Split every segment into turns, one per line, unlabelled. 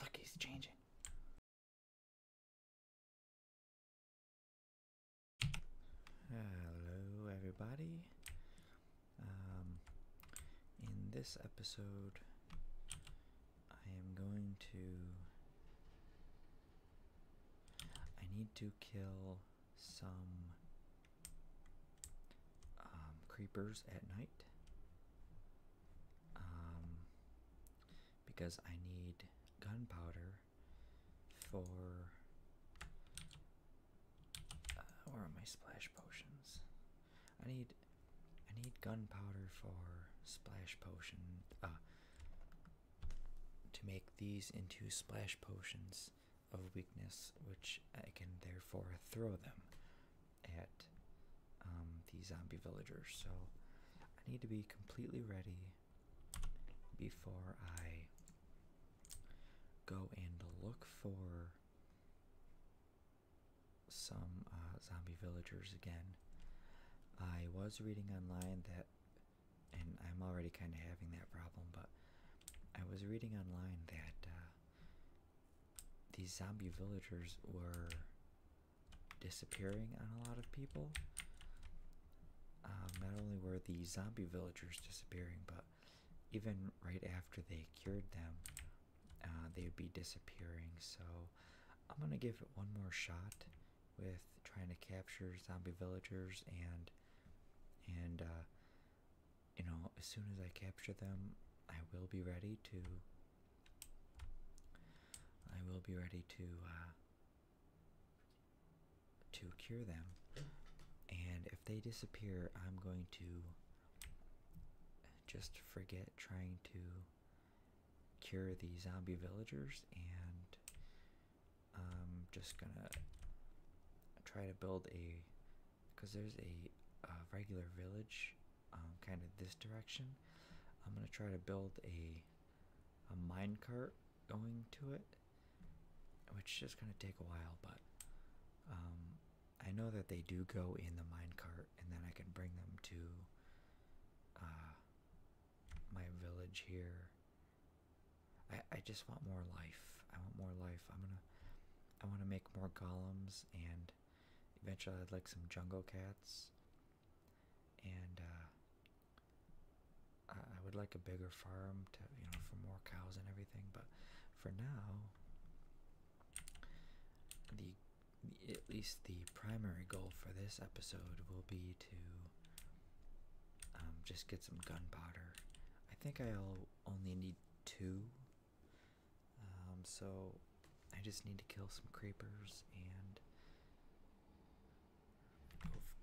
Look, he's changing. Hello, everybody. Um, in this episode, I am going to. I need to kill some um, creepers at night um, because I need gunpowder for. Uh, where are my splash potions? I need, I need gunpowder for splash potion. Uh, to make these into splash potions of weakness, which I can therefore throw them at um, the zombie villagers. So I need to be completely ready before I go and look for some uh, zombie villagers again. I was reading online that, and I'm already kind of having that problem, but I was reading online that uh, these zombie villagers were disappearing on a lot of people. Um, not only were the zombie villagers disappearing, but even right after they cured them, uh, they would be disappearing. So I'm gonna give it one more shot with trying to capture zombie villagers and and uh, you know, as soon as I capture them, I will be ready to. I will be ready to uh, to cure them, and if they disappear, I'm going to just forget trying to cure the zombie villagers and I'm just gonna try to build a because there's a uh, regular village um, kind of this direction. I'm gonna try to build a a mine cart going to it, which is gonna take a while, but um, I know that they do go in the mine cart, and then I can bring them to uh, my village here. I I just want more life. I want more life. I'm gonna I want to make more golems and eventually I'd like some jungle cats. And uh, I, would like a bigger farm to, you know, for more cows and everything. But for now, the at least the primary goal for this episode will be to um, just get some gunpowder. I think I'll only need two um, so I just need to kill some creepers and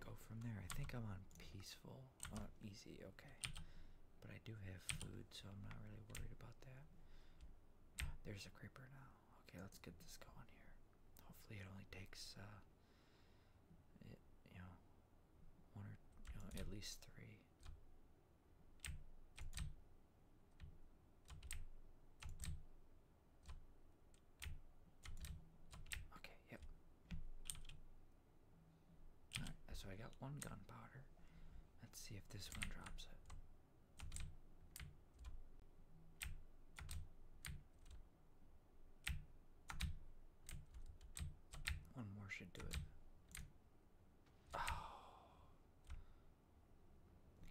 go, from there. I think I'm on peaceful. Oh, easy, okay. But I do have food, so I'm not really worried about that. There's a creeper now. Okay, let's get this going here. Hopefully, it only takes, uh, it, you know, one or uh, at least three. Okay, yep. Alright, so I got one gunpowder. Let's see if this one drops it. One more should do it. Oh.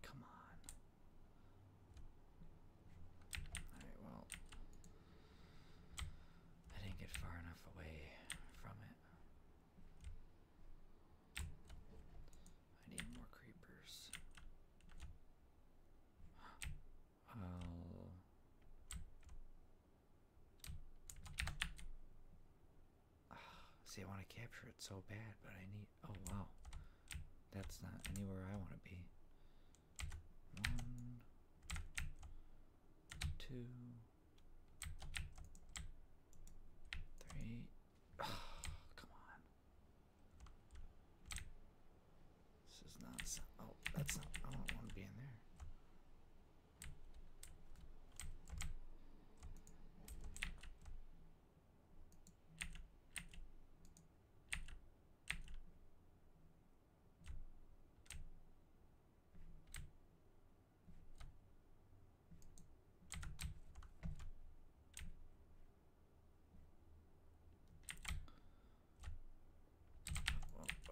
Come on. Alright, well. I didn't get far enough away from it. I need more creepers. i oh. See, I want to capture it so bad, but I need. Oh wow, that's not anywhere I want to be. One, two, three. come on. This is not. Oh, that's I don't want to be in there. Up,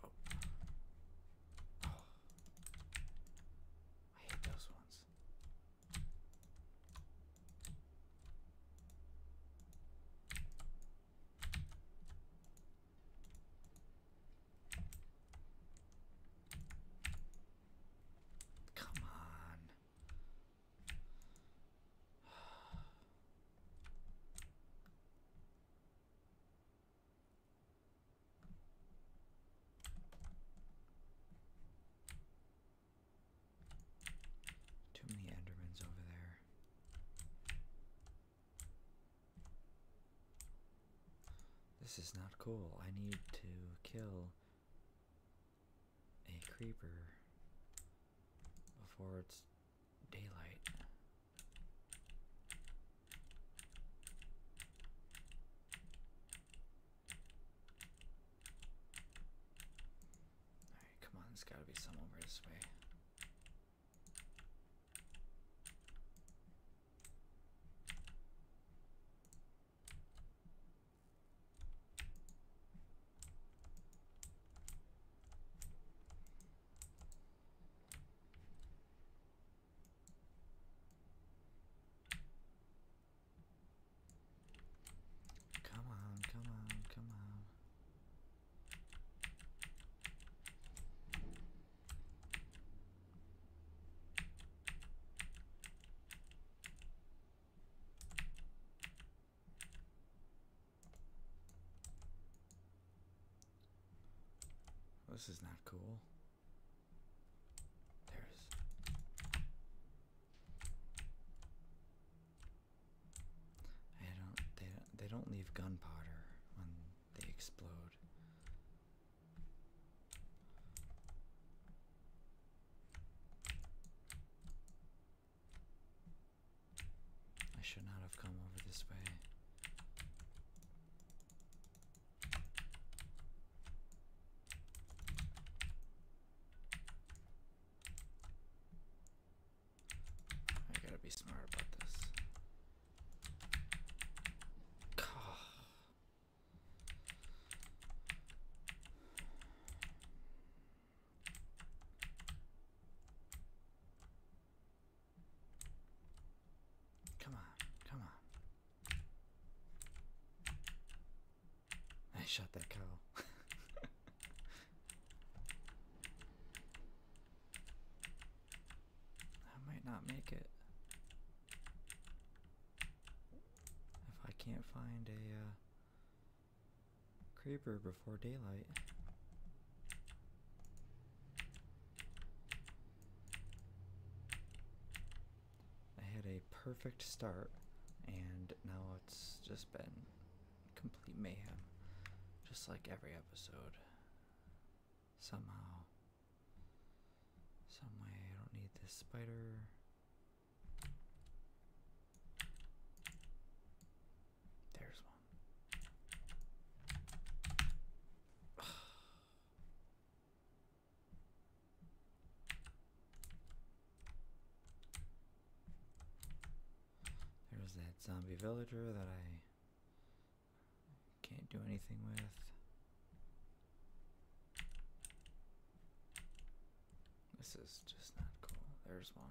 up. Oh. oh. I hate those ones. Come on. Too many Endermans over there. This is not cool. I need to kill a creeper before it's daylight come on, there's gotta be some over this way. Come on, come on, come on. This is not cool. There's I don't they don't they don't leave gunpowder when they explode. I should not have come over this way. I gotta be smart about this. Come on, come on. I shot that cow. I might not make it. If I can't find a uh, creeper before daylight. I had a perfect start, and now it's just been complete mayhem, just like every episode. Somehow, some way, I don't need this spider. There's one. There's that zombie villager that I can't do anything with. This is just not cool. There's one.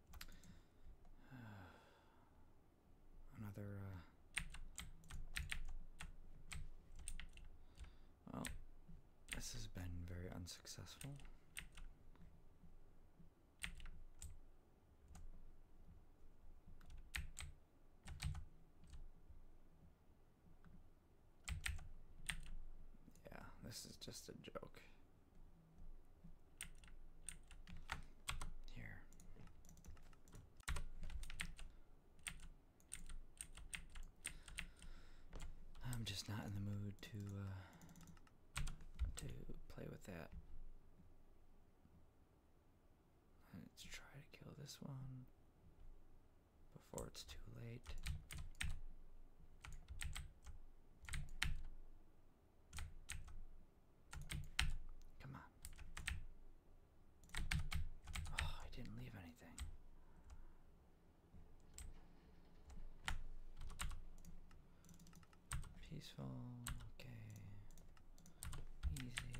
Another, uh, well, this has been very unsuccessful. Yeah, this is just a joke. Here. I'm just not in the mood to uh, to play with that. Let's try to kill this one before it's too late. Come on. Oh, I didn't leave anything. Peaceful, okay. Easy.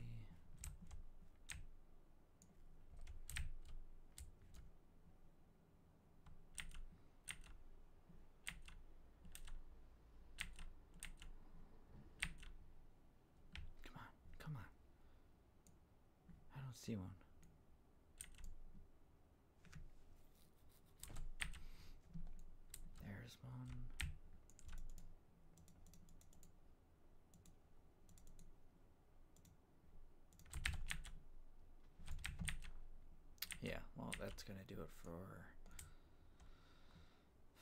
Come on, come on. I don't see one. There's one. Yeah, well, that's going to do it for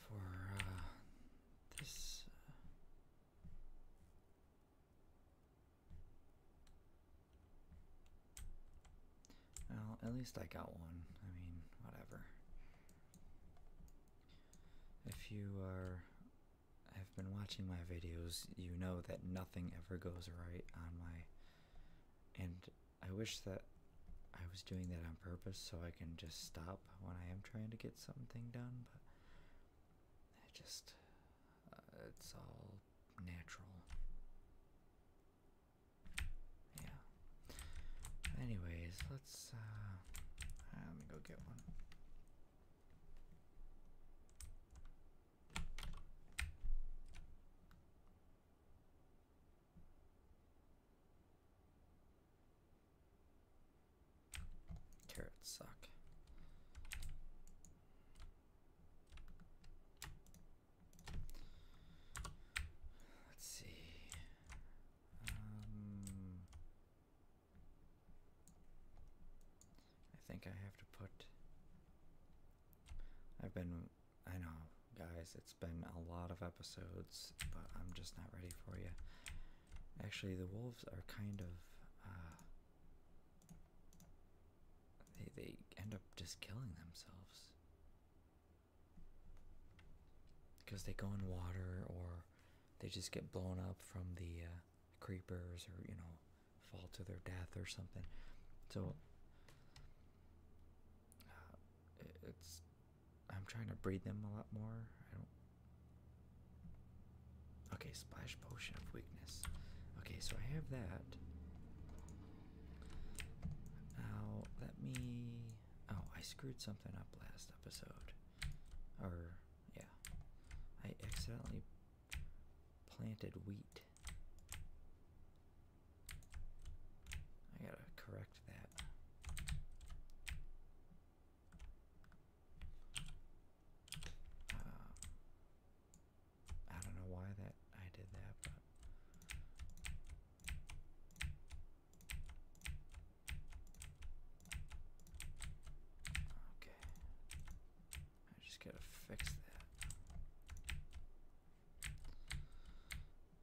for uh, this. Uh, well, at least I got one. I mean, whatever. If you are have been watching my videos, you know that nothing ever goes right on my and I wish that I was doing that on purpose so I can just stop when I am trying to get something done, but it just, uh, it's all natural. Yeah. Anyways, let's, uh, let me go get one. Carrots suck. Let's see. Um, I think I have to put. I've been I know, guys, it's been a lot of episodes, but I'm just not ready for you. Actually, the wolves are kind of. Uh, they, they end up just killing themselves. Because they go in water or they just get blown up from the uh, creepers or, you know, fall to their death or something. So. Uh, it's I'm trying to breed them a lot more. I don't. Okay, splash potion of weakness. Okay, so I have that. Now let me. Oh, I screwed something up last episode. Or yeah, I accidentally planted wheat. I gotta correct that. Uh, I don't know why that I did that, okay. I just gotta fix that.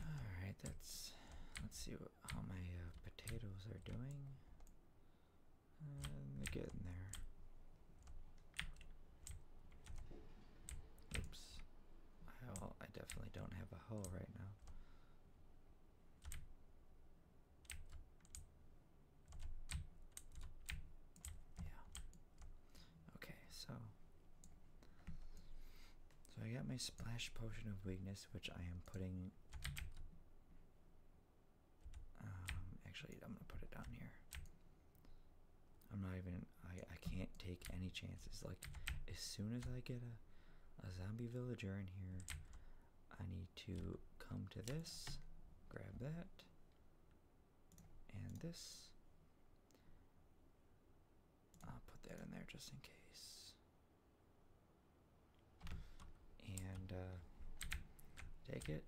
all right, that's. Let's see what, how my uh, potatoes are doing. Uh, they're getting there. Oops. I, I definitely don't have a hoe right now. Yeah. Okay, so so I got my splash potion of weakness, which I am putting. Um, actually, I'm gonna put it down here. I'm not even. I I can't take any chances. Like, as soon as I get a a zombie villager in here, I need to come to this, grab that, and this. I'll put that in there just in case. And uh, take it,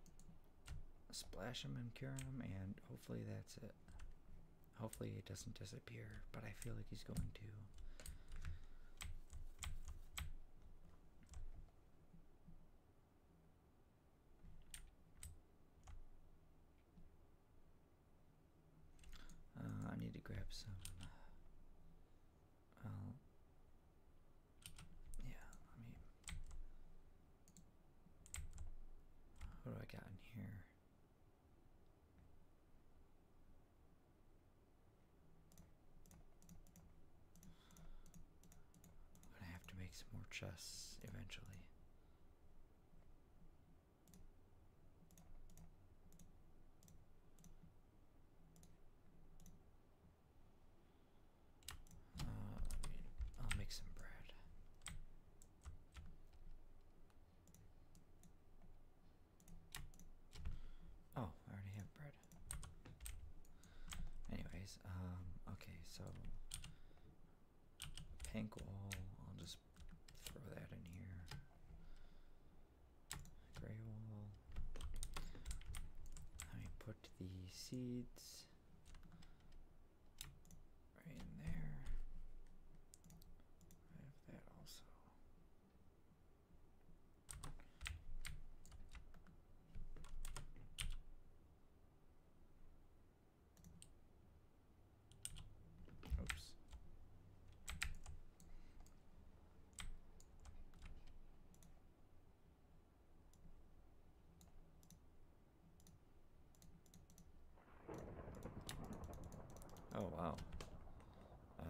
splash him and cure him, and hopefully that's it. Hopefully it doesn't disappear, but I feel like he's going to. Uh, I need to grab some. Uh, yeah, I mean, what do I got in here? I'm gonna have to make some more chests eventually. Uh, I'll make some bread. Oh, I already have bread. Anyways, um, okay, so Pink wall, I'll just throw that in here. Gray wall. Let me put the seeds right in there. I have that also. Oops. Oh, wow. Uh,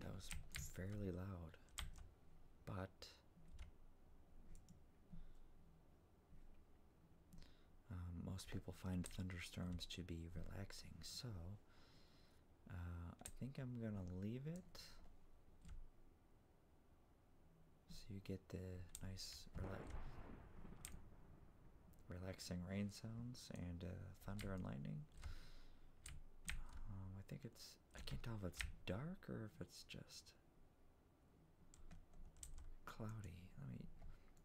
that was fairly loud, but um, most people find thunderstorms to be relaxing, so uh, I think I'm gonna leave it so you get the nice relaxing rain sounds and uh, thunder and lightning. Um, I think it's I can't tell if it's dark or if it's just Cloudy. Let me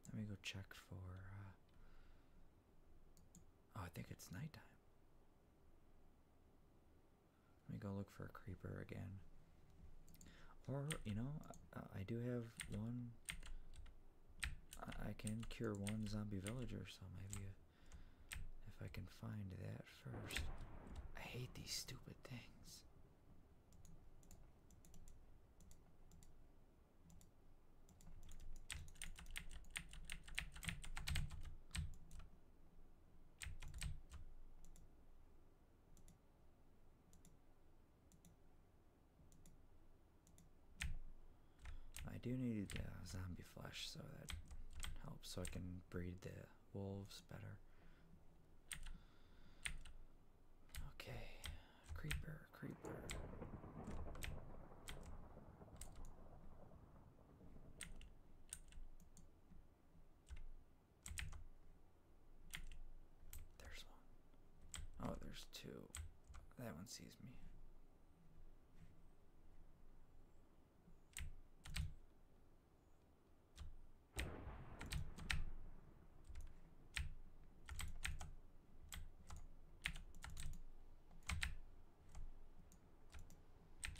let me go check for. Uh, oh, I think it's nighttime. Let me go look for a creeper again. Or you know, I, do have one. I, I can cure one zombie villager, so maybe if I can find that first. I hate these stupid things. I do need the zombie flesh so that helps so I can breed the wolves better. Okay, creeper, creeper. There's one. Oh, there's two. That one sees me.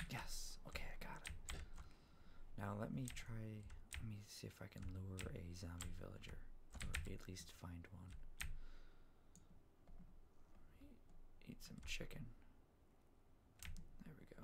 Yes. Okay, I got it. Now let me try. Let me see if I can lure a zombie villager, or at least find one. Eat some chicken. There we go.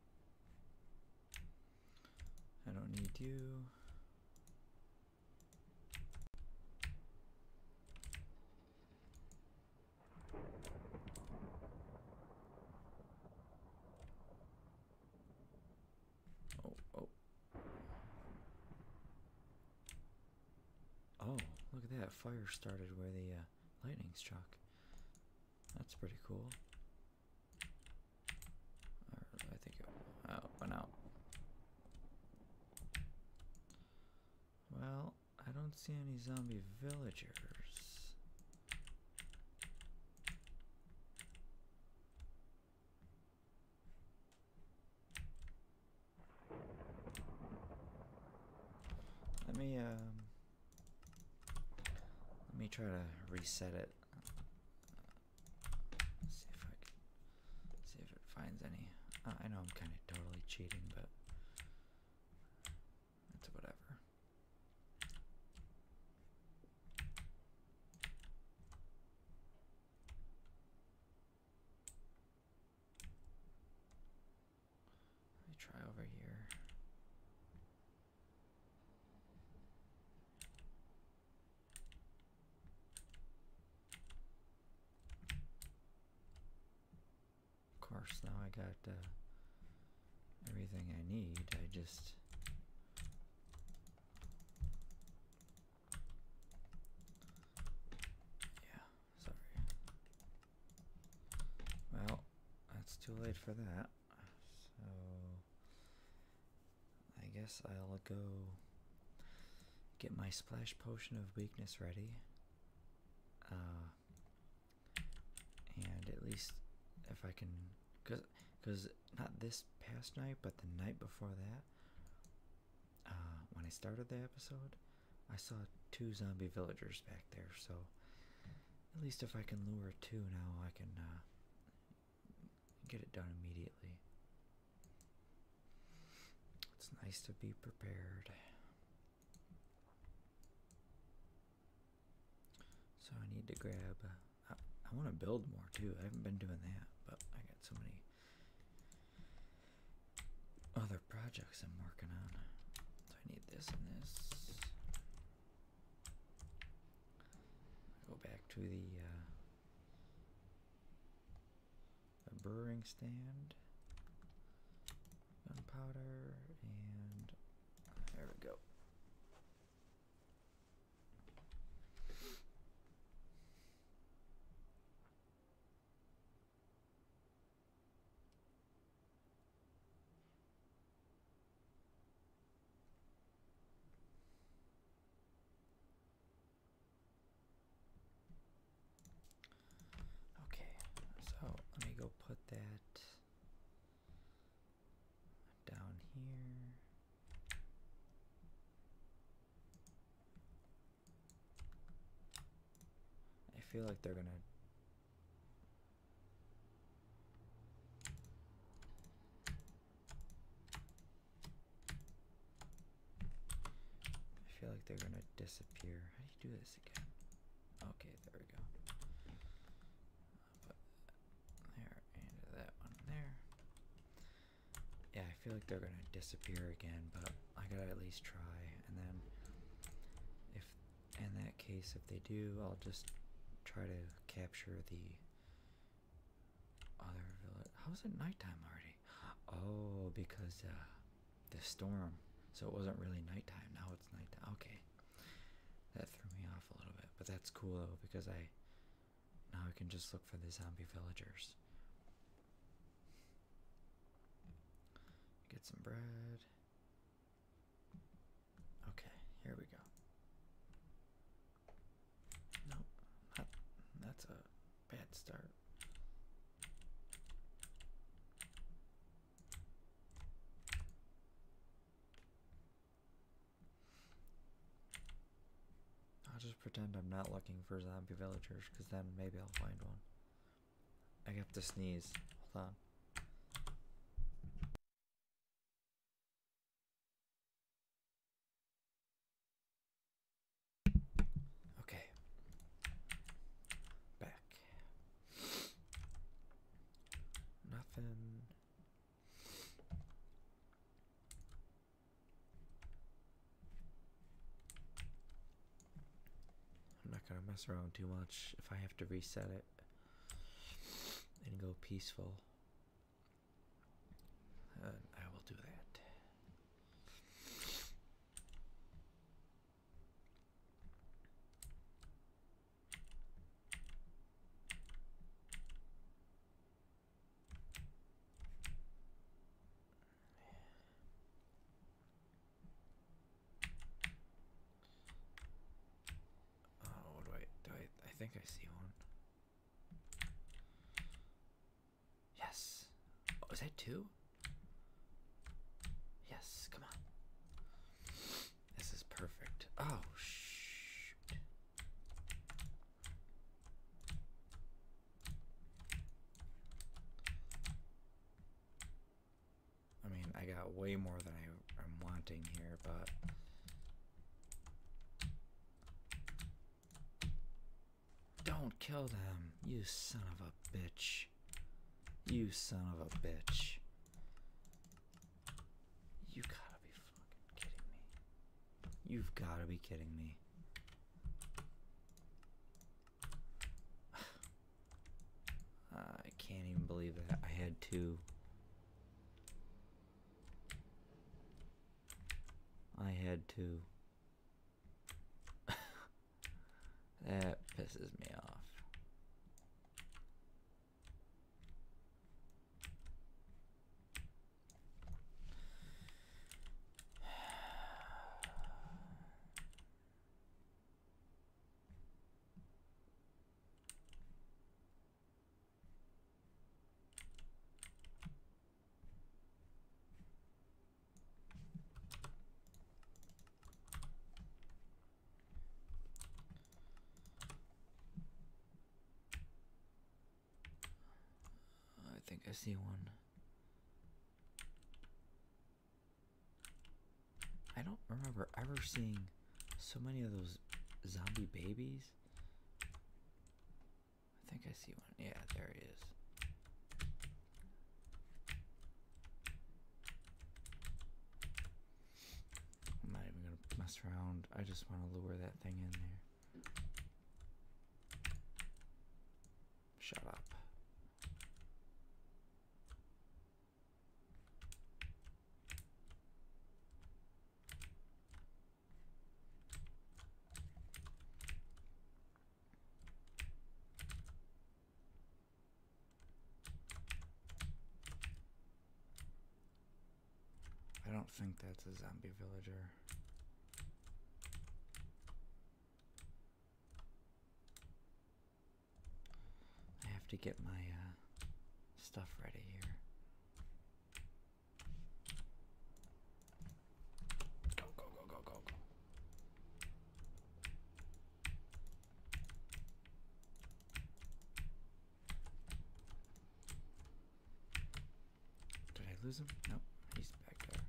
I don't need you. Oh, oh. Oh, look at that. Fire started where the uh, lightning struck. That's pretty cool. I think oh, it went out. Well, I don't see any zombie villagers. Let me um let me try to reset it. See if I can see if it finds any. Uh, I know I'm kind of totally cheating, but it's whatever. Let me try over here. Of course, now I got uh, everything I need. I just yeah, sorry. Well, that's too late for that so I guess I'll go get my splash potion of weakness ready. Uh, and at least if I can, cause, cause not this past night, but the night before that, uh, when I started the episode, I saw two zombie villagers back there. So at least if I can lure two now, I can uh, get it done immediately. It's nice to be prepared. So I need to grab. Uh, I want to build more too. I haven't been doing that, but I got so many other projects I'm working on. So I need this and this. Go back to the, uh, the brewing stand, gunpowder, and there we go. Okay, so let me go put that down here. I feel like they're gonna I feel like they're gonna disappear. How do you do this again? Okay, there we go. Put there and that one there. Yeah, I feel like they're gonna disappear again, but I gotta at least try. And then if in that case, if they do, I'll just try to capture the other village. How is it nighttime already? Oh, because uh, the storm. So it wasn't really nighttime. Now it's nighttime. Okay, that threw me off a little bit, but that's cool though because I now I can just look for the zombie villagers. Get some bread. Okay, here we go. nope, that's a bad start. I'll just pretend I'm not looking for zombie villagers because then maybe I'll find one. I have to sneeze. Hold on. Okay. Back. Nothing. I'm not gonna mess around too much. If I have to reset it, and go peaceful. I will do that. Oh, do I do? I, I think I see one. Yes. Oh, is that two? Yes, come on. This is perfect. Oh, shoot. I mean, I got way more than I, am wanting here, but... Don't kill them, you son of a bitch. You son of a bitch. You gotta be fucking kidding me. You've gotta be kidding me. I can't even believe that I had to. I had to. that pisses me off. I think I see one. I don't remember ever seeing so many of those zombie babies. I think I see one. Yeah, there he is. I'm not even going to mess around. I just want to lure that thing in there. Shut up. I don't think that's a zombie villager. I have to get my uh, stuff ready here. Go, go, go, go, go, go. Did I lose him? Nope, he's back there.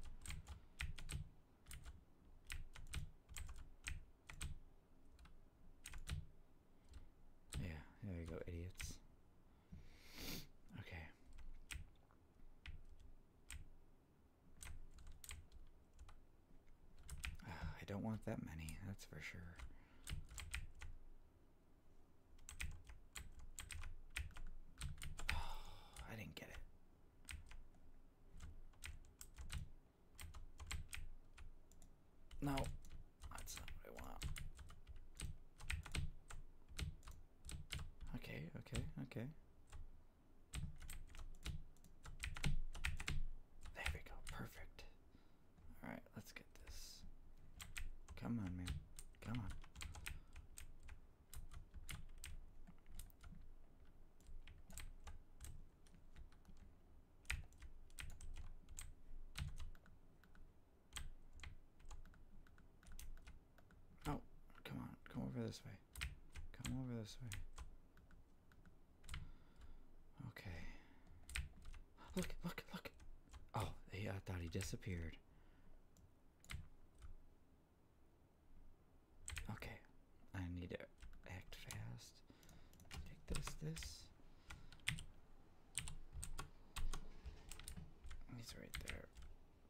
Yeah, there we go, idiots. Okay. Ah, I don't want that many, that's for sure. I didn't get it. No, that's not what I want. Okay, okay, okay. There we go, perfect. Alright, let's get this. Come on, man. Come on. Oh, come on, come over this way. Come over this way. Okay. Look, look, look. Oh, he, I thought he disappeared. Okay, I need to act fast. Take this, this. He's right there.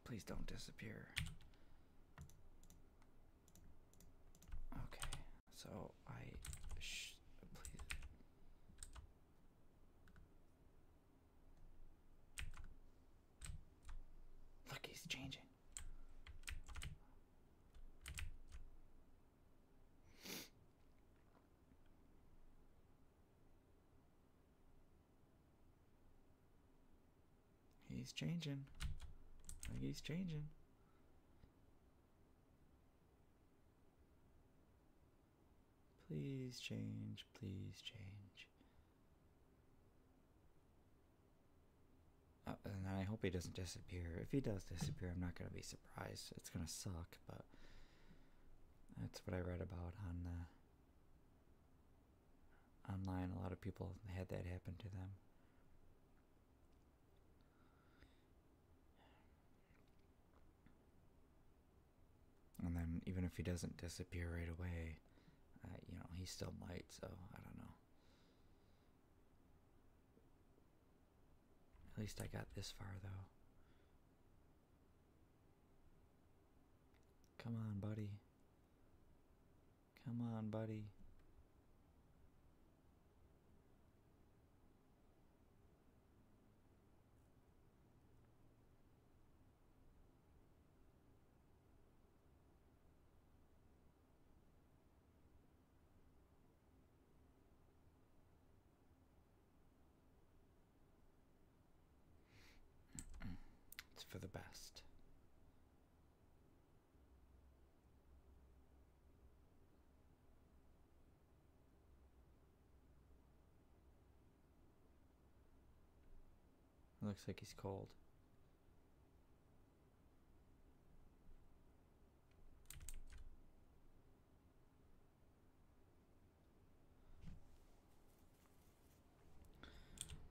Please don't disappear. Okay, so I. Sh please. Look, he's changing. He's changing. he's changing. Please change, please change. Uh, and I hope he doesn't disappear. If he does disappear, I'm not going to be surprised. It's going to suck but that's what I read about on uh, online. A lot of people had that happen to them. And then, even if he doesn't disappear right away, uh, you know, he still might, so I don't know. At least I got this far, though. Come on, buddy. Come on, buddy it's for the best. Looks like he's cold.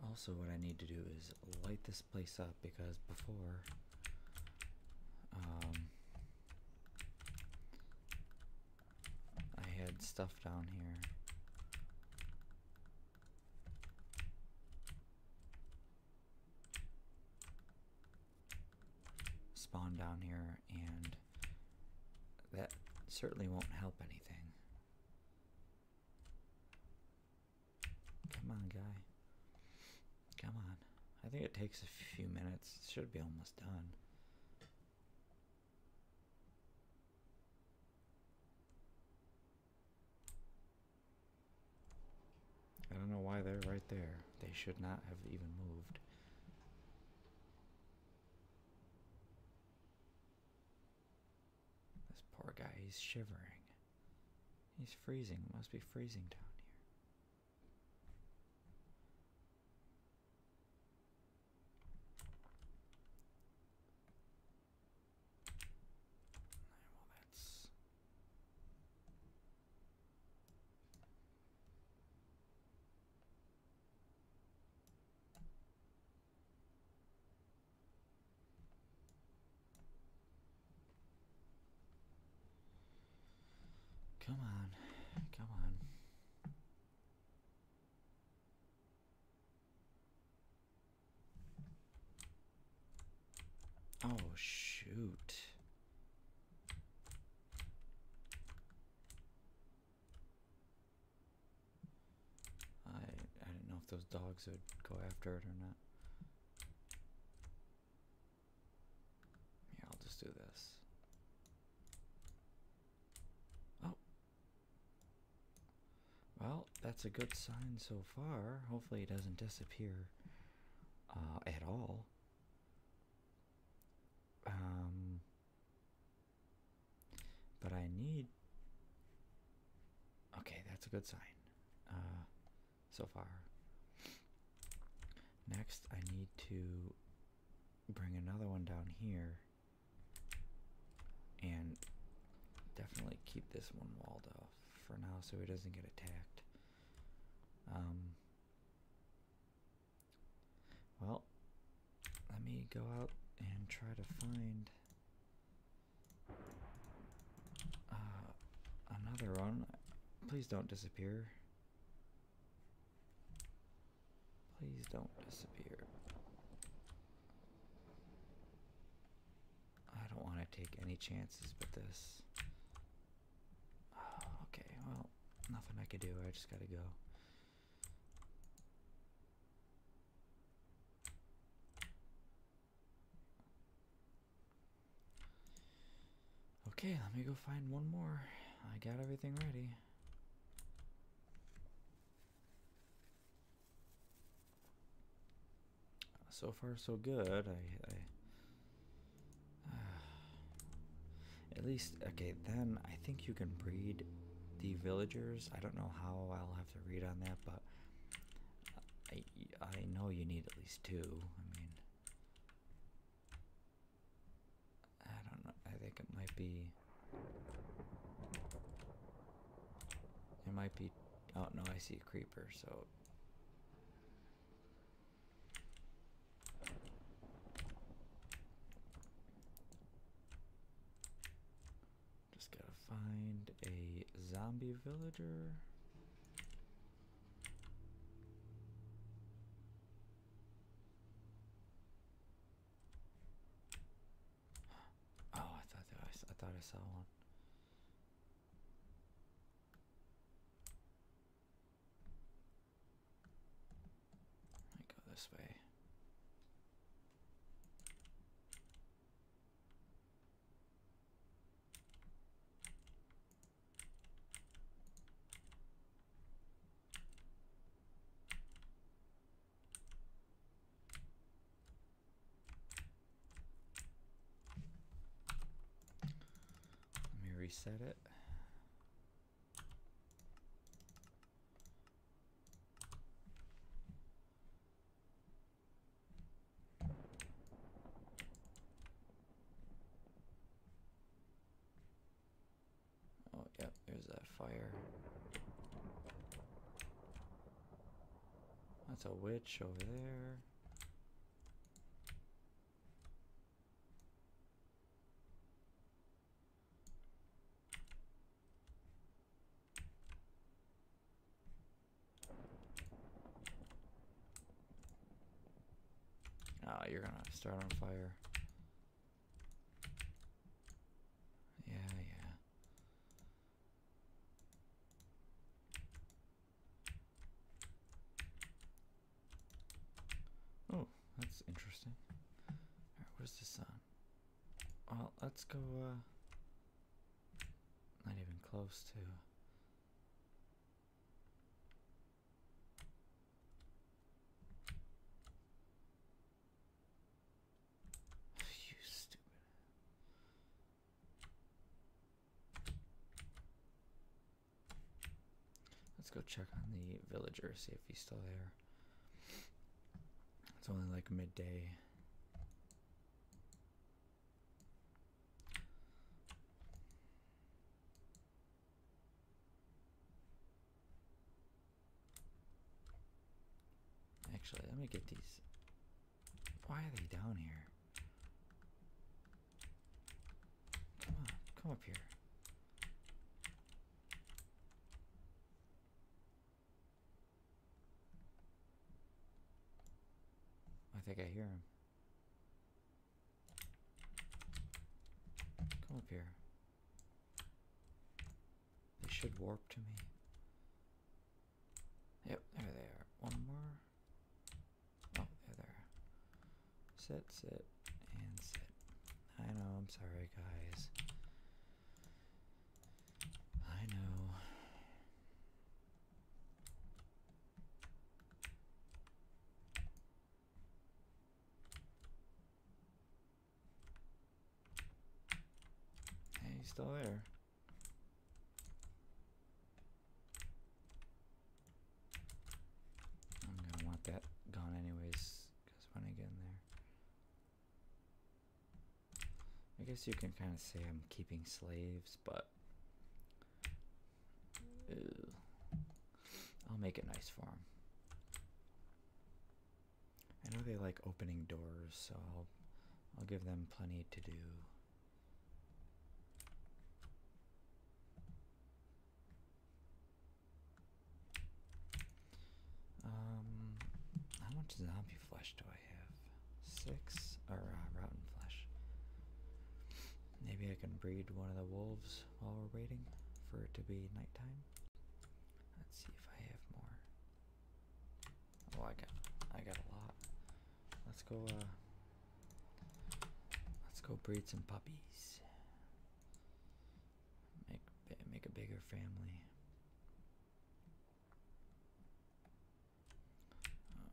Also, what I need to do is light this place up because before um, I had stuff down here spawn down here, and that certainly won't help anything. Come on, guy. Come on. I think it takes a few minutes. It should be almost done. I don't know why they're right there. They should not have even moved. This poor guy, he's shivering. He's freezing. must be freezing down here. Well, that's Come on, come on. Oh, shoot. I I didn't know if those dogs would go after it or not. Yeah, I'll just do this. Oh. Well, that's a good sign so far. Hopefully it doesn't disappear uh, at all. Um, but I need. Okay, that's a good sign. Uh, so far. Next, I need to bring another one down here and definitely keep this one walled off for now so it doesn't get attacked. Um, well, let me go out and try to find uh, another one. Please don't disappear. Please don't disappear. I don't want to take any chances but this. Oh, okay, well, nothing I can do. I just gotta go. Okay, let me go find one more. I got everything ready. So far, so good. I at least, okay, then I think you can breed the villagers. I don't know how I'll have to read on that, but I, I know you need at least two. I mean, I don't know. I think it might be. It might be. Oh, no, I see a creeper, so just gotta find a zombie villager. Oh, I thought I, I thought I saw one. I go this way. Let me reset it. Oh, yep, there's that fire. That's a witch over there. Ah, you're gonna start on fire. Yeah, yeah. Oh, that's interesting. Where's the sun? Well, let's go, uh, not even close to. you stupid. Let's go check on the villager, see if he's still there. It's only like midday. Actually, let me get these. Why are they down here? Come on, come up here. I think I hear them. Come up here. They should warp to me. Yep, there they are. One more. Oh, there they are. Set, set, and set. I know, I'm sorry, guys. I know. Hey, he's still there. I'm gonna want that gone anyways, because when I get in there. I guess you can kind of say I'm keeping slaves, but I'll make it nice for them. I know they like opening doors, so I'll I'll give them plenty to do. Um, how much zombie flesh do I have? Six or uh, rotten flesh. Maybe I can breed one of the wolves while we're waiting for it to be nighttime. Let's see if I have more. Oh, I got, I got a lot. Let's go. Uh, let's go breed some puppies. Make make a bigger family.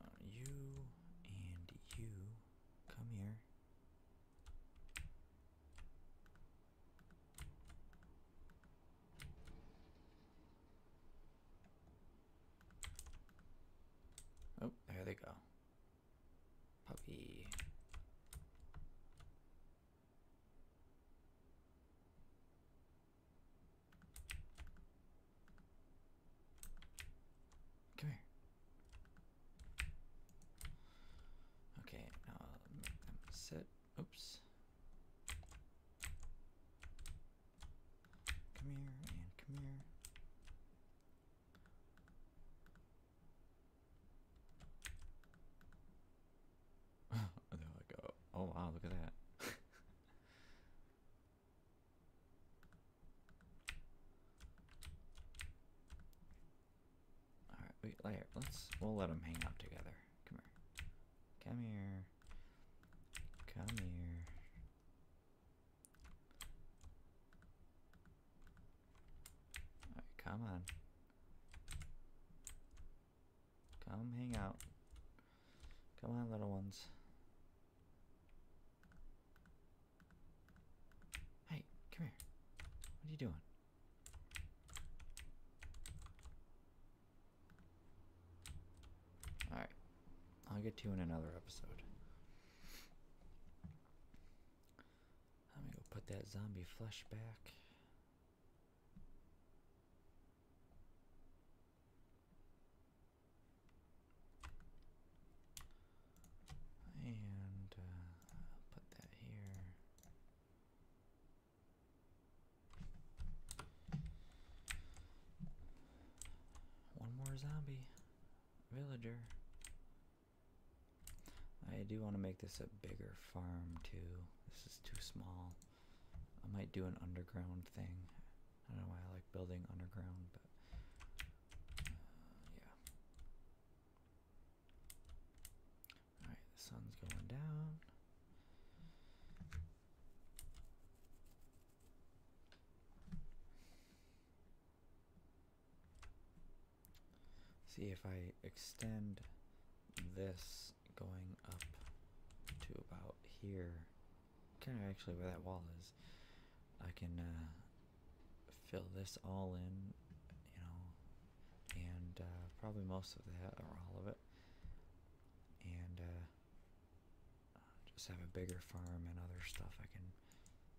Uh, you and you come here. Oh, there they go. Puppy. Come here. Okay, now Oops. Come here and come here and they're oh, wow, look at that. Alright, wait, Here, Let's we'll let them hang out together. Come here. Come here. Come here. Right, come on. Come hang out. Come on, little ones. Hey, come here. What are you doing? Alright. I'll get to you in another episode. Let me go put that zombie flesh back. And uh, put that here. One more zombie villager. I do want to make this a bigger farm too. This is too small. I might do an underground thing. I don't know why I like building underground, but uh, yeah. Alright, the sun's going down. See if I extend this going up to about here, kind of actually where that wall is, I can uh, fill this all in, you know, and uh, probably most of that or all of it, and uh, just have a bigger farm and other stuff I can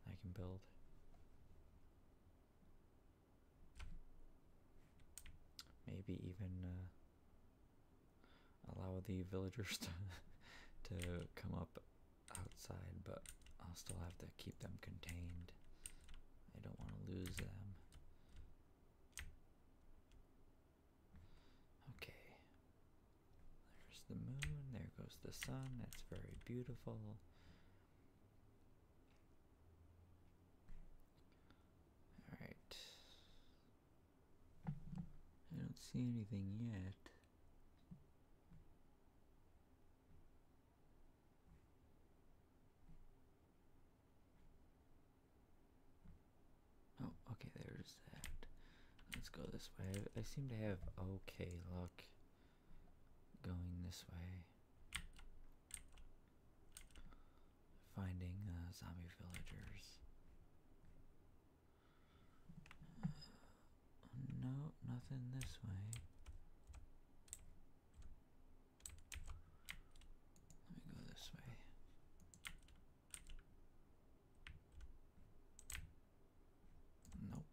I can build. Maybe even uh, allow the villagers to to come up outside, but I'll still have to keep them contained. I don't want to lose them. Okay. There's the moon. There goes the sun. That's very beautiful. All right. I don't see anything yet. Oh, okay, there's that. Let's go this way. I, I seem to have okay luck. Going this way, finding uh, zombie villagers. no, nothing this way. Let me go this way. Nope.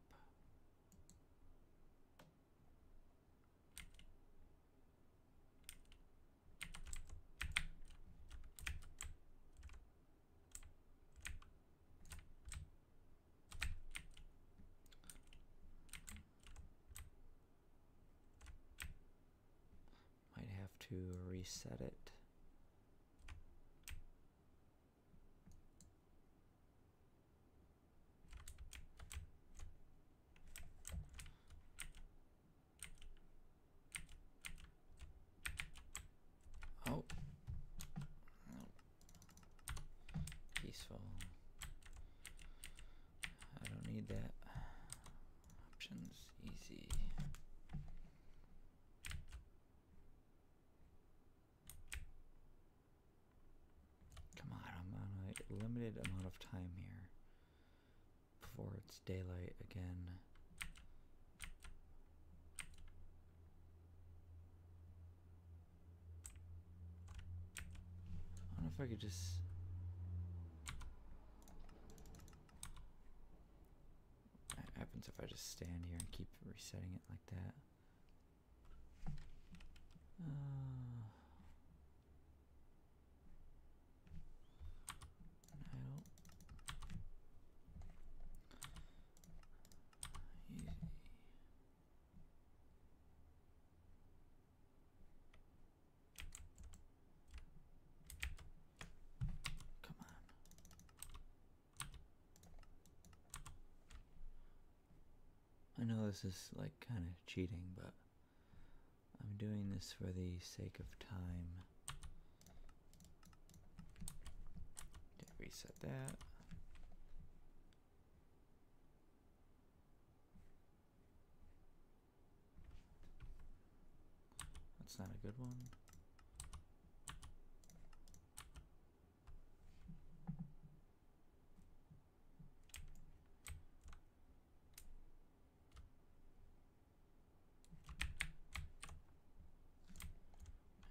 Might have to reset it. Oh. Peaceful. I don't need that. Options easy. Come on, I'm on a limited amount of time here before it's daylight again. I wonder if I could just. What happens if I just stand here and keep resetting it like that? Uh, no. Easy. Come on. I know this is like kind of cheating, but I'm doing this for the sake of time. Reset that. That's not a good one.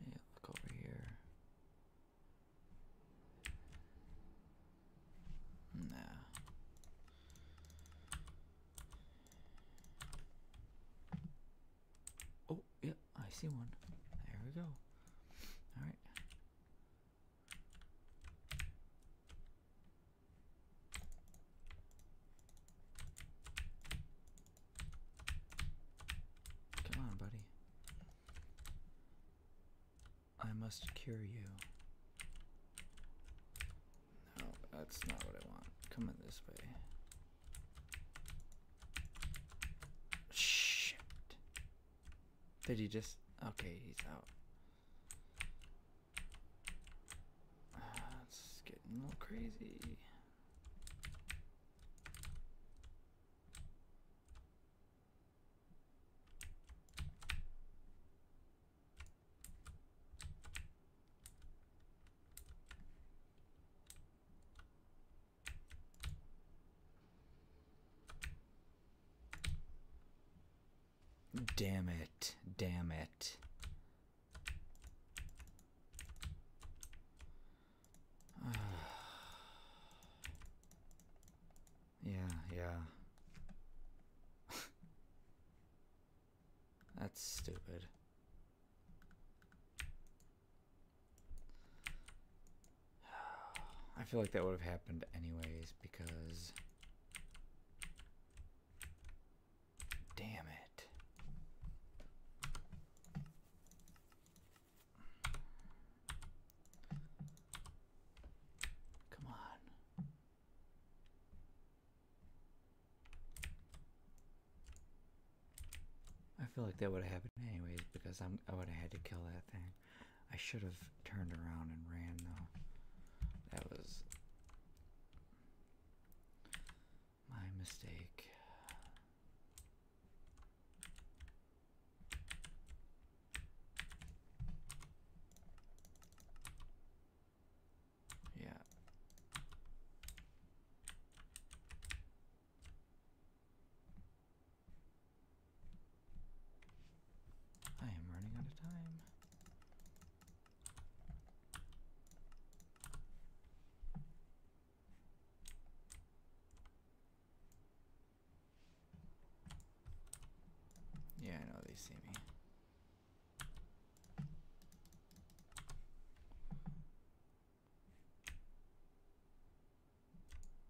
Yeah, look over here. Nah. Oh, yep, yeah, I see one. There we go. All right. Come on, buddy. I must cure you. No, that's not what I want. Come in this way. Shit. Did he just? Okay, he's out. Uh, it's getting a little crazy. Damn it, damn it. yeah, yeah. That's stupid. I feel like that would have happened anyways because. Damn it. Come on. I feel like that would have happened anyways because I'm I would have had to kill that thing. I should have turned around and ran though. That was my mistake. Yeah. I am running out of time. Yeah, I know they see me.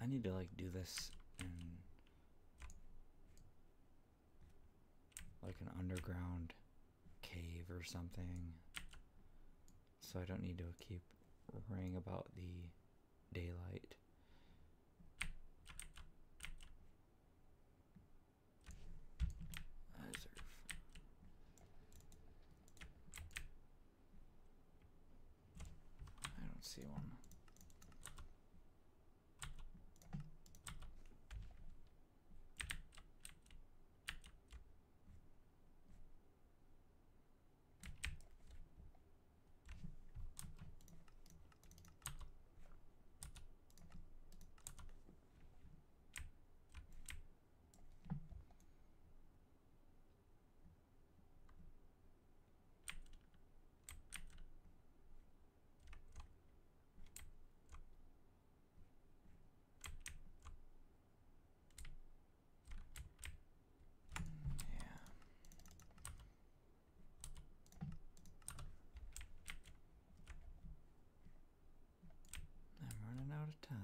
I need to like do this in like an underground cave or something so I don't need to keep worrying about the daylight. I don't see one. Yeah. I'm running out of time.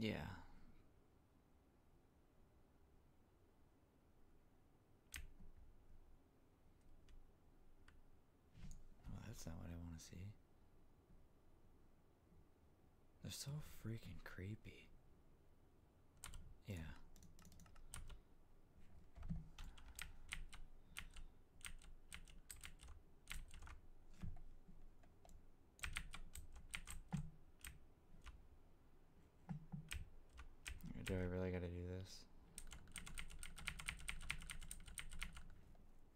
Yeah. Well, that's not what I want to see. They're so freaking creepy. Yeah. Do I really gotta do this?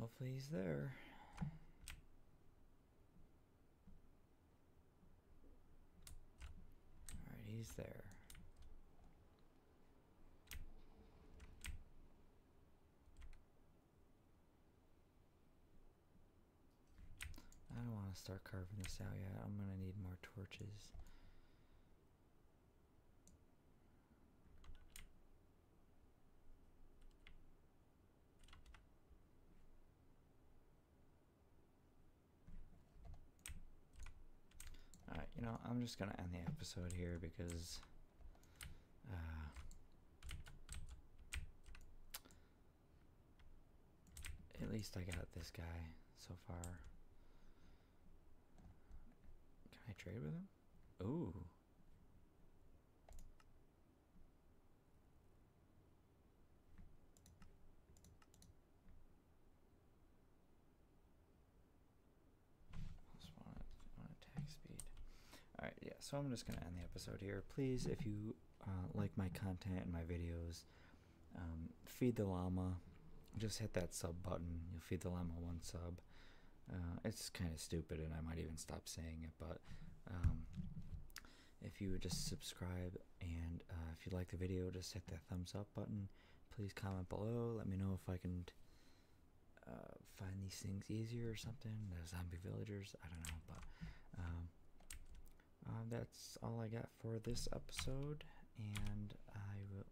Hopefully he's there. All right, he's there. I don't want to start carving this out yet. I'm going to need more torches. All right, you know, I'm just gonna end the episode here because uh, at least I got this guy so far. Can I trade with him? Ooh on attack speed. Alright, yeah, so I'm just going to end the episode here. Please, if you uh, like my content and my videos, um, feed the llama. Just hit that sub button. You'll feed the llama one sub. Uh, it's kind of stupid, and I might even stop saying it but um, if you would just subscribe and uh, if you like the video, just hit that thumbs up button. Please comment below. Let me know if I can uh, find these things easier or something. The zombie villagers, I don't know, but um, uh, that's all I got for this episode, and I will.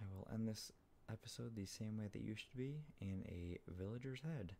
I will end this episode the same way that you should be in a villager's head.